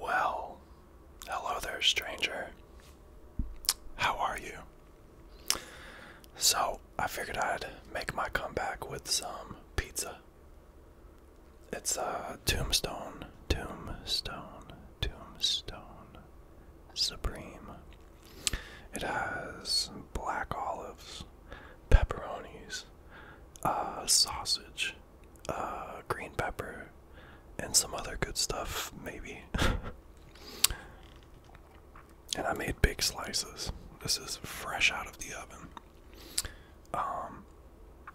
Well, hello there, stranger. How are you? So, I figured I'd make my comeback with some pizza. It's a uh, tombstone, tombstone, tombstone, supreme. It has black olives, pepperonis, uh, sausage, uh, green pepper, and some other good stuff, maybe. and I made big slices. This is fresh out of the oven. Um,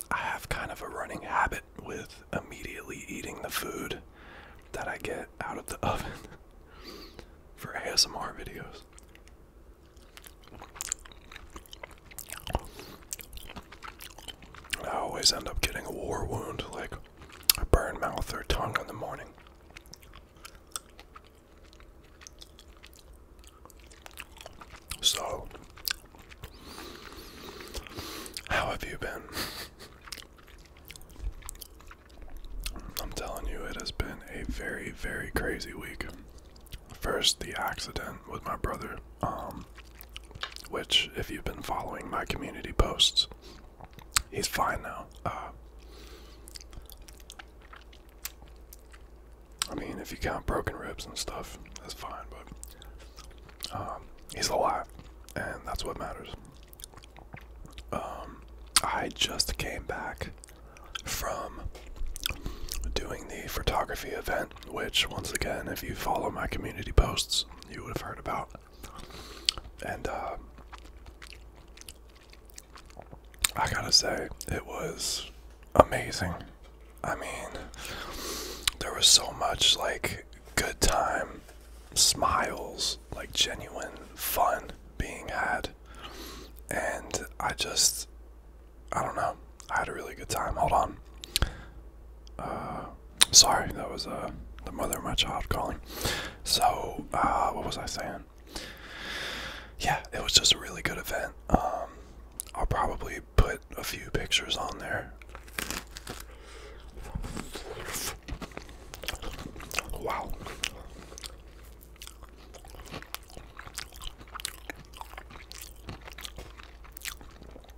I have kind of a running habit with immediately eating the food that I get out of the oven for ASMR videos. I always end up getting a war wound, like a burned mouth or tongue in the morning. So, how have you been? I'm telling you, it has been a very, very crazy week. First, the accident with my brother, um, which, if you've been following my community posts, he's fine now. Uh, I mean, if you count broken ribs and stuff, that's fine, but um, he's alive, and that's what matters. Um, I just came back from doing the photography event which, once again, if you follow my community posts, you would have heard about. And uh, I gotta say, it was amazing. I mean, there was so much like good time, smiles, like genuine fun being had. And I just I don't know. I had a really good time. Hold on. Uh, sorry, that was uh, the mother of my child calling. So, uh, what was I saying? Yeah, it was just a really good event. Um, I'll probably put a few pictures on there. Wow.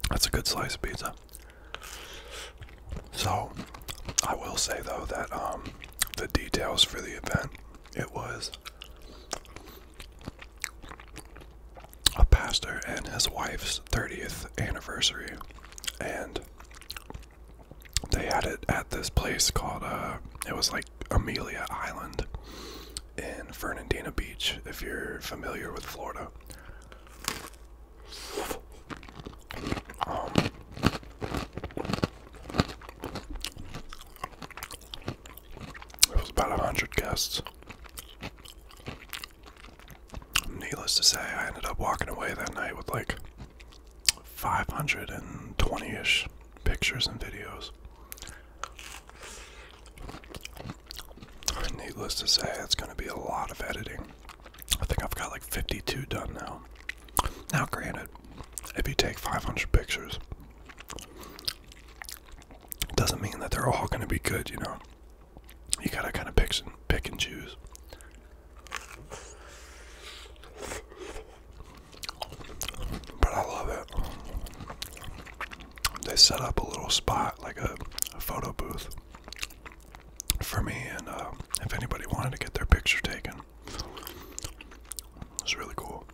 That's a good slice of pizza. So, I will say though that um, the details for the event it was a pastor and his wife's 30th anniversary, and they had it at this place called uh, it was like Amelia Island, in Fernandina Beach, if you're familiar with Florida. Um, it was about 100 guests. Needless to say, I ended up walking away that night with like 520 ish pictures and videos. Needless to say, it's going to be a lot of editing. I think I've got like 52 done now. Now, granted, if you take 500 pictures, it doesn't mean that they're all going to be good, you know. You got to kind of pick and, pick and choose. But I love it they set up a little spot like a, photo booth for me and uh, if anybody wanted to get their picture taken it was really cool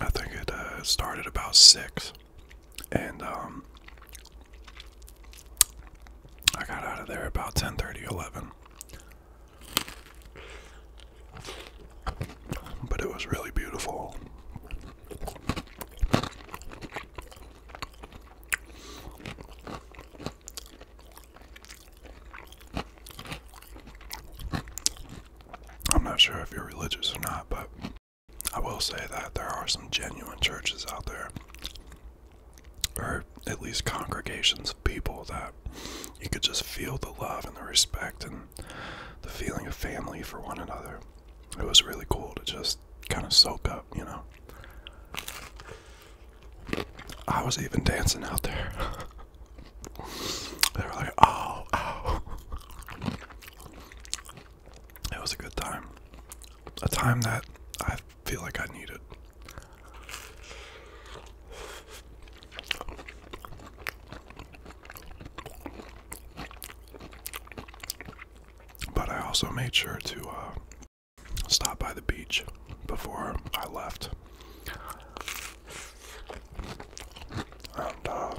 I think it uh, started about six and um, I got out of there about 10:30, 11. But it was really beautiful. I'm not sure if you're religious or not, but I will say that there are some genuine churches out there or at least congregations of people that you could just feel the love and the respect and the feeling of family for one another. It was really cool to just kind of soak up, you know. I was even dancing out there. they were like, oh, oh. It was a good time. A time that i feel like I need it. But I also made sure to uh, stop by the beach before I left. And uh,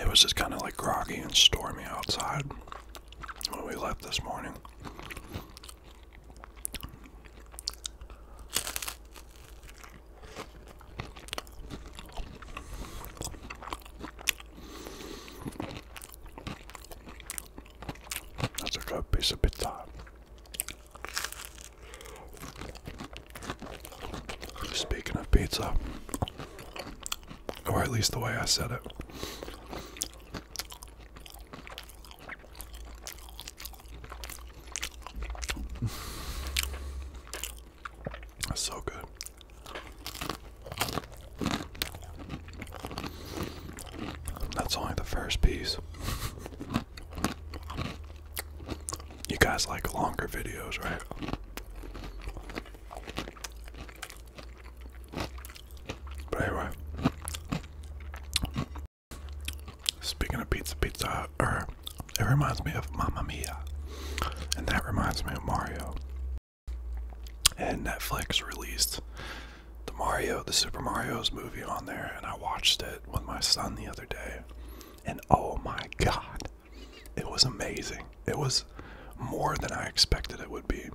it was just kind of like groggy and stormy outside when we left this morning. That's a good piece of pizza. Speaking of pizza, or at least the way I said it. That's so good. That's only the first piece. You guys like longer videos, right? But anyway, speaking of pizza, pizza, er, it reminds me of Mamma Mia, and that reminds me of Mario. And Netflix released the Mario, the Super Mario's movie on there, and I watched it with my son the other day. And oh my god, it was amazing. It was more than I expected it would be.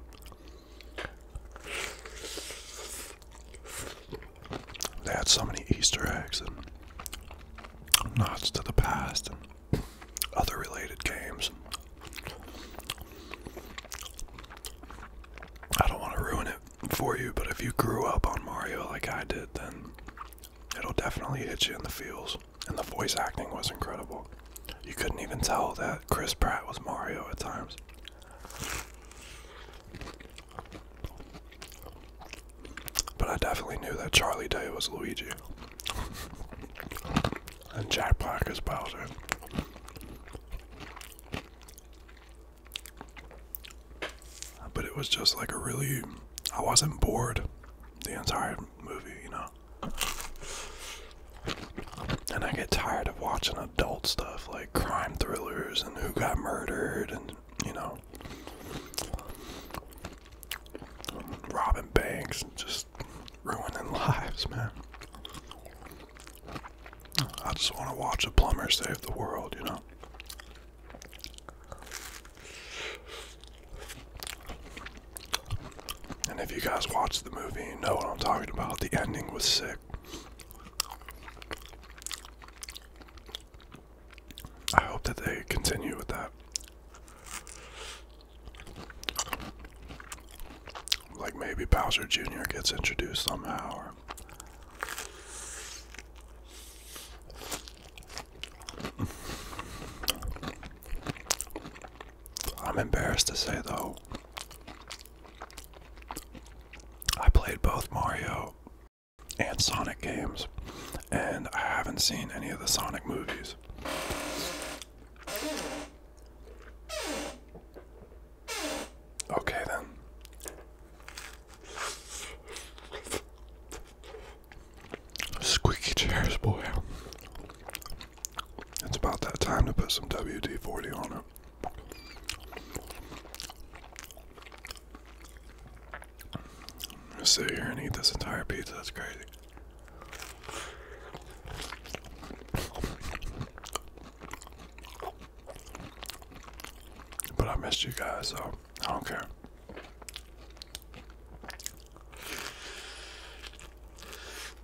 They had so many Easter eggs and nods to the past and other related games. I don't want to ruin it for you, but if you grew up on Mario like I did, then it'll definitely hit you in the feels. And the voice acting was incredible. You couldn't even tell that Chris Pratt was Mario at times. But I definitely knew that Charlie Day was Luigi. and Jack Black is Bowser. But it was just like a really. I wasn't bored the entire movie, you know? and I get tired of watching adult stuff like crime thrillers and who got murdered and, you know, robbing banks and just ruining lives, man. I just want to watch a plumber save the world, you know. And if you guys watched the movie, you know what I'm talking about. The ending was sick. I hope that they continue with that. Like maybe Bowser Jr. gets introduced somehow I'm embarrassed to say though, I played both Mario and Sonic games, and I haven't seen any of the Sonic movies. Okay, then. Squeaky chairs, boy. It's about that time to put some WD 40 on it. sit here and eat this entire pizza. That's crazy. But I missed you guys, so I don't care.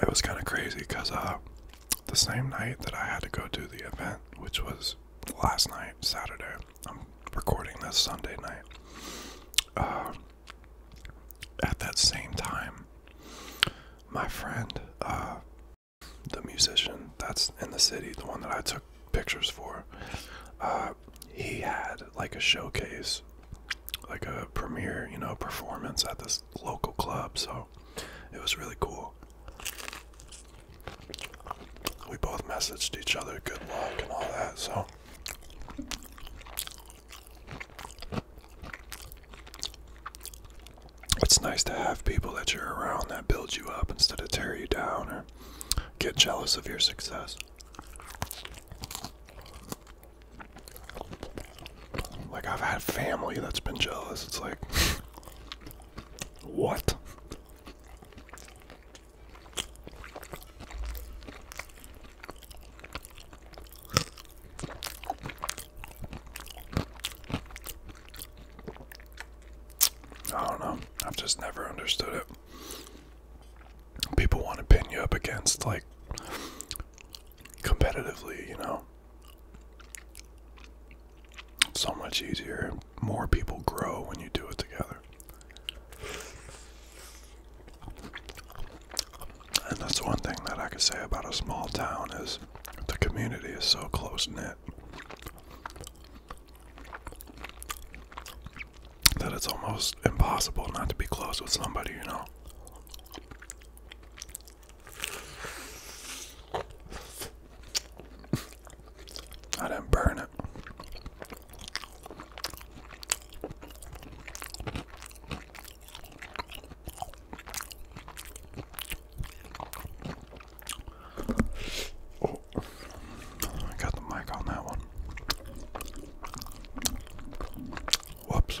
It was kind of crazy because uh, the same night that I had to go do the event, which was last night, Saturday, I'm recording this Sunday night. Um, at that same time, my friend, uh, the musician that's in the city, the one that I took pictures for, uh, he had like a showcase, like a premiere, you know, performance at this local club. So it was really cool. We both messaged each other good luck and all that, so it's nice to have people that you're around that build you up instead of tear you down or get jealous of your success. Like I've had family that's been jealous. It's like what? I don't know. I've just never understood it. People want to pin you up against like competitively, you know so much easier. More people grow when you do it together. And that's one thing that I could say about a small town is the community is so close knit that it's almost impossible not to be close with somebody, you know. I didn't burn it. Oh, I got the mic on that one. Whoops.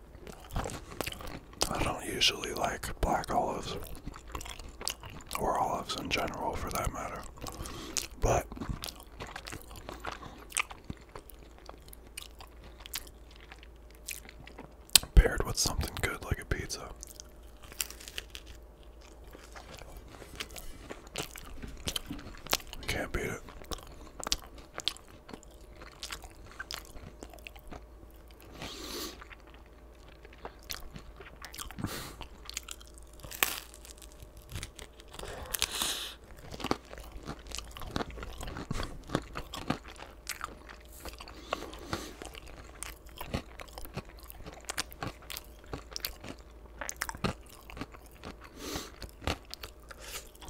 I don't usually like black olives or olives in general for that matter, but paired with something good like a pizza. Can't beat it.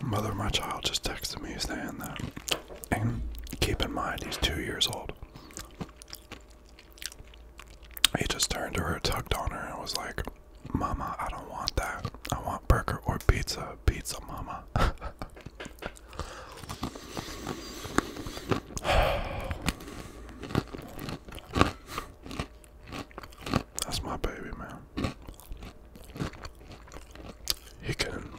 Mother my child just texted me saying that and keep in mind, he's two years old. He just turned to her, tugged on her, and was like, Mama, I don't want that. I want burger or pizza. Pizza, Mama. That's my baby, man. He can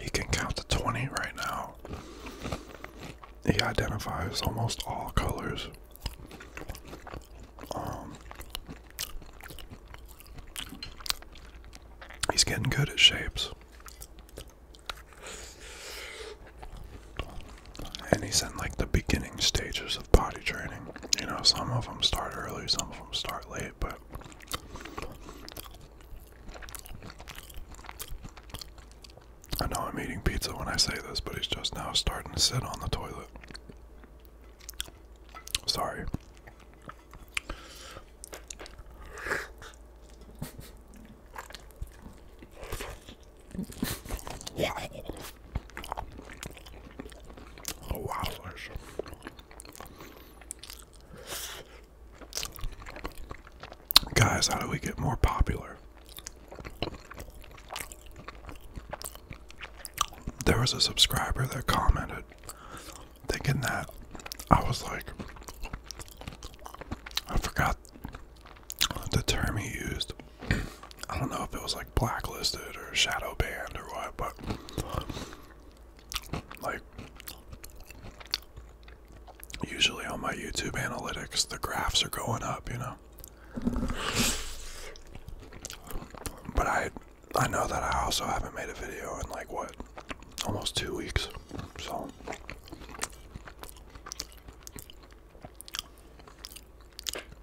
he can count to 20 right now. He identifies almost all colors. Um, he's getting good at shapes. And he's in like the beginning stages of potty training. You know, some of them start early, some of them start late, but I know I'm eating pizza when I say this, but he's just now starting to sit on the toilet. Sorry. Oh, Guys, how do we get more popular? There was a subscriber that commented thinking that I was like, I forgot the term he used. I don't know if it was like blacklisted or shadow banned or what, but like, usually on my YouTube analytics, the graphs are going up, you know. But I, I know that I also haven't made a video in like what, almost two weeks. So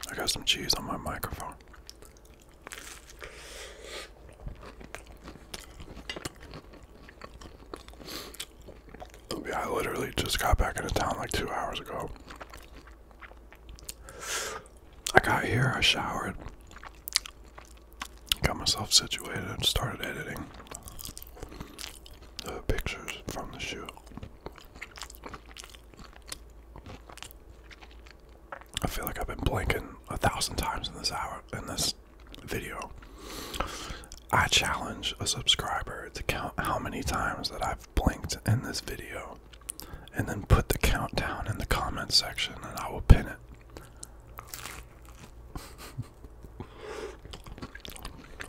I got some cheese on my microphone. Yeah, I literally just got back into town like two hours ago. I got here, I showered, got myself situated, and started editing the pictures from the shoot. I feel like I've been blinking a thousand times in this hour in this video, I challenge a subscriber to count how many times that I've blinked in this video and then put the countdown in the comment section and I will pin it.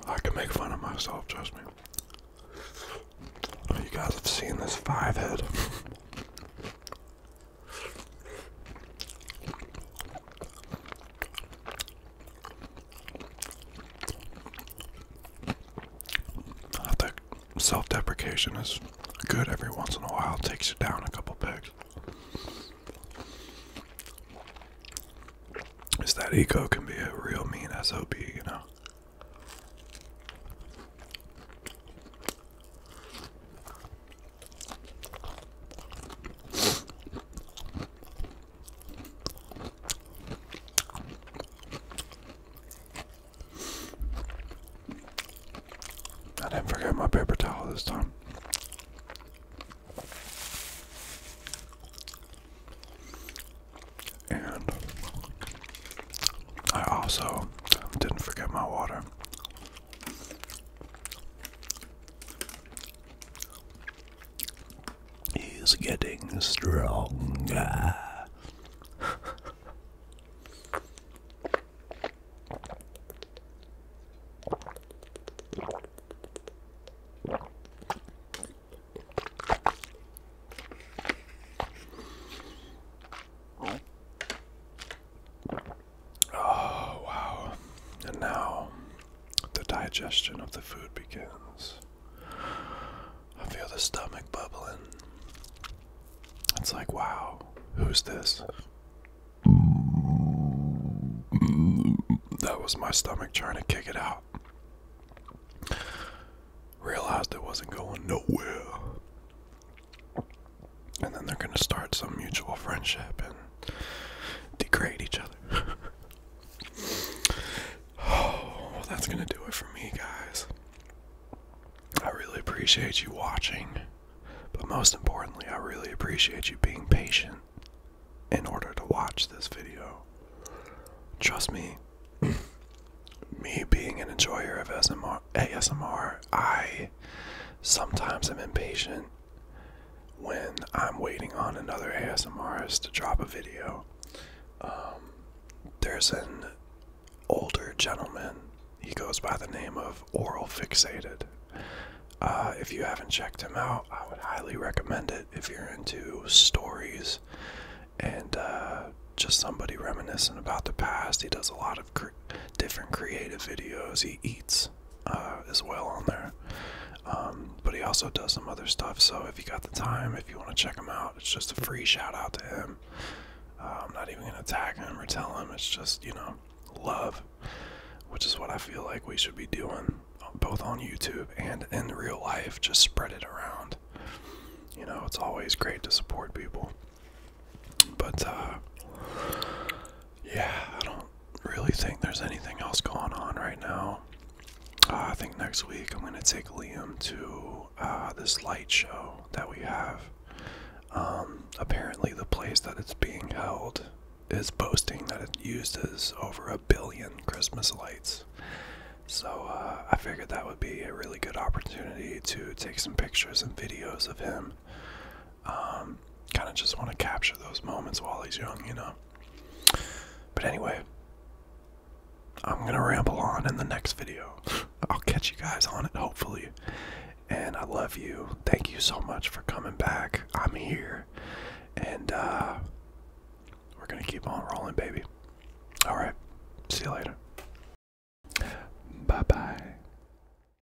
I can make fun of myself, trust me. You guys have seen this five head that self deprecation is good every once in a while, takes you down a couple pegs. Is that ego can be a real mean SOB, you know? I didn't forget my paper towel this time. And I also didn't forget my water. He's getting stronger. Oh, wow. And now the digestion of the food begins. I feel the stomach bubbling. It's like, wow, who's this? That was my stomach trying to kick it out. Realized it wasn't going nowhere and then they're going to start some mutual friendship and degrade each other. well, that's going to do it for me, guys. I really appreciate you watching, but most importantly, I really appreciate you being patient in order to watch this video. Trust me, me being an enjoyer of ASMR, ASMR I sometimes I'm impatient when I'm waiting on another ASMRist to drop a video. Um, there's an older gentleman. He goes by the name of Oral Fixated. Uh, if you haven't checked him out, I would highly recommend it if you're into stories and uh, just somebody reminiscent about the past. He does a lot of different creative videos. He eats uh, as well on there. Um, but he also does some other stuff, so if you got the time, if you want to check him out, it's just a free shout out to him. Uh, I'm not even going to tag him or tell him, it's just, you know, love, which is what I feel like we should be doing uh, both on YouTube and in real life. Just spread it around. You know, it's always great to support people. But uh, yeah, I don't really think there's anything else going on right now. Uh, I think next week I'm going to take Liam to uh, this light show that we have. Um, apparently, the place that it's being held is boasting that it uses over a billion Christmas lights. So I figured that would be a really good opportunity to take some pictures and videos of him um, kind of just want to capture those moments while he's young, you know. But anyway, I'm going to ramble on in the next video. I'll catch you guys on it, hopefully. And I love you. Thank you so much for coming back. I'm here. And uh, we're going to keep on rolling, baby. All right. See you later. Bye bye.